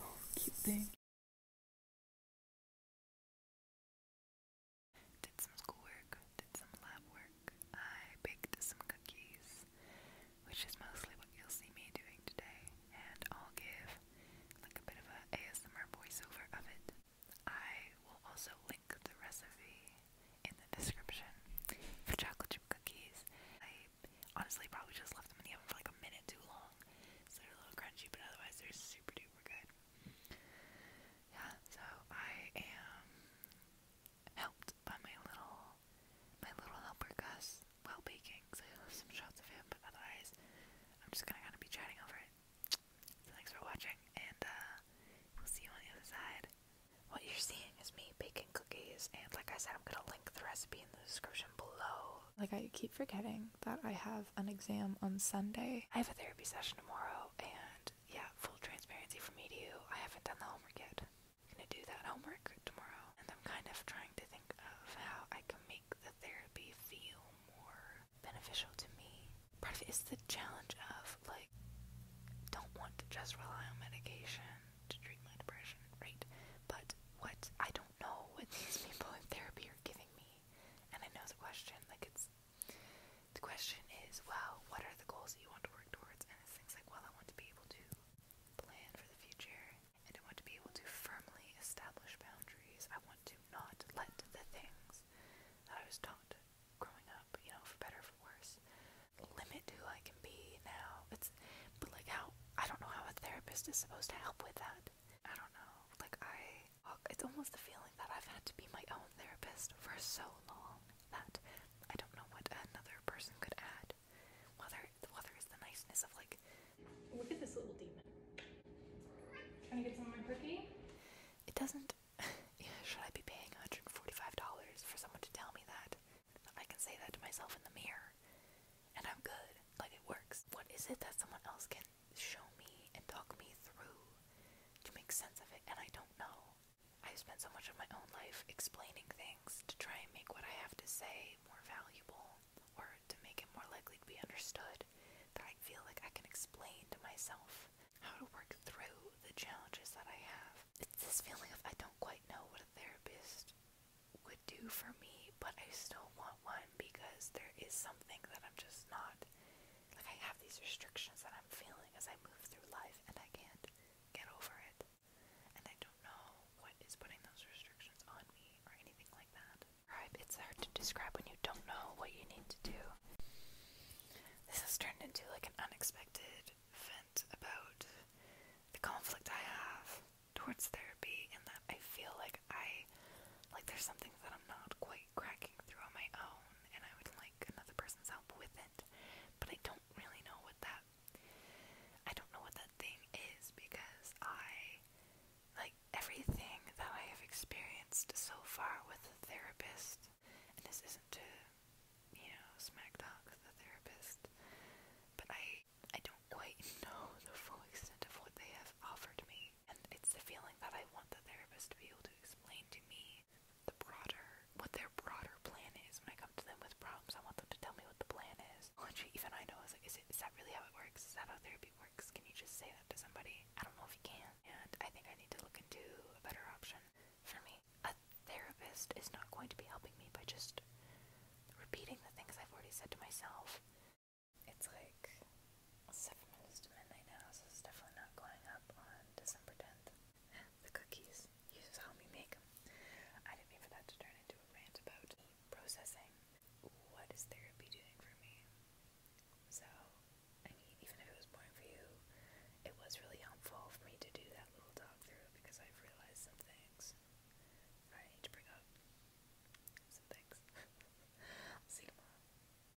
Oh, cute thing. Did some schoolwork, did some lab work. I baked some cookies, which is mostly what you'll see me doing today, and I'll give like a bit of a ASMR voiceover of it. I will also the recipe in the description for chocolate chip cookies. I honestly probably just left them in the oven for like a minute too long, so they're a little crunchy, but otherwise they're super duper good. Yeah, so I am helped by my little my little helper Gus while baking, so some shots of him, but otherwise I'm just gonna kind of be chatting over it thanks for watching, and uh, we'll see you on the other side. What you're seeing is me baking cookies, and like I said, I'm gonna link the recipe in the description below. Like, I keep forgetting that I have an exam on Sunday. I have a therapy session tomorrow, and yeah, full transparency for me to you, I haven't done the homework yet. I'm gonna do that homework tomorrow, and I'm kind of trying to think of how I can make the therapy feel more beneficial to me part of it is the challenge of like don't want to just rely on medication to treat my depression, right? But what I don't know what these people in therapy are giving me, and I know the question. Like it's the question is, well, what are the goals that you want to work towards? And it's things like, well, I want to be able to plan for the future, and I want to be able to firmly establish boundaries. I want to do not let the things that I was taught growing up, you know, for better or for worse, limit who I can be now. It's but like how I don't know how a therapist is supposed to help with that. I don't know. Like I it's almost the feeling that I've had to be my own therapist for so long that I don't know what another person could add. Whether the weather is the niceness of like. Look at this little demon. Trying to get some of my cookie? It doesn't. Should I be paying $145 for someone to tell me that? I can say that to myself in the mirror. And I'm good. Like, it works. What is it that someone else can show me and talk me through to make sense of it? And I don't know. I've spent so much of my own life explaining things to try and make what I have to say more valuable or to make it more likely to be understood, that I feel like I can explain to myself how to work through the challenges that I have. It's this feeling of I don't quite know what a therapist would do for me, but I still want one because there is something that I'm just not. Like, I have these restrictions that I'm feeling as I move through life, and I can't get over it. And I don't know what is putting those restrictions on me or anything like that. It's hard to describe when you don't know what you need to do. This has turned into like an unexpected vent about the conflict I have towards therapy and that I feel like I like there's something that I'm not quite cracking through on my own and I would like another person's help with it. But I don't really know what that I don't know what that thing is because I like everything that I have experienced so far with a therapist and this isn't to you know smack talk the therapist but I I don't quite know the full extent of what they have offered me and it's the feeling that I want the therapist to be able to explain to me the broader what their broader plan is. When I come to them with problems, I want them to tell me what the plan is. even I know is like, is, that really how it works? Is that how therapy works? Can you just say that to somebody? I don't know if you can, and I think I need to look into a better option for me. A therapist is not going to be helping me by just repeating the things I've already said to myself. It's like seven minutes to midnight now, so it's definitely not going up on December tenth the cookies. You saw me make them. I didn't mean for that to turn into a rant about processing. What is therapy doing for me? So, I mean, even if it was boring for you, it was really helpful for me to do that little talk through because I've realized some things I need to bring up. Some things. I'll see you tomorrow.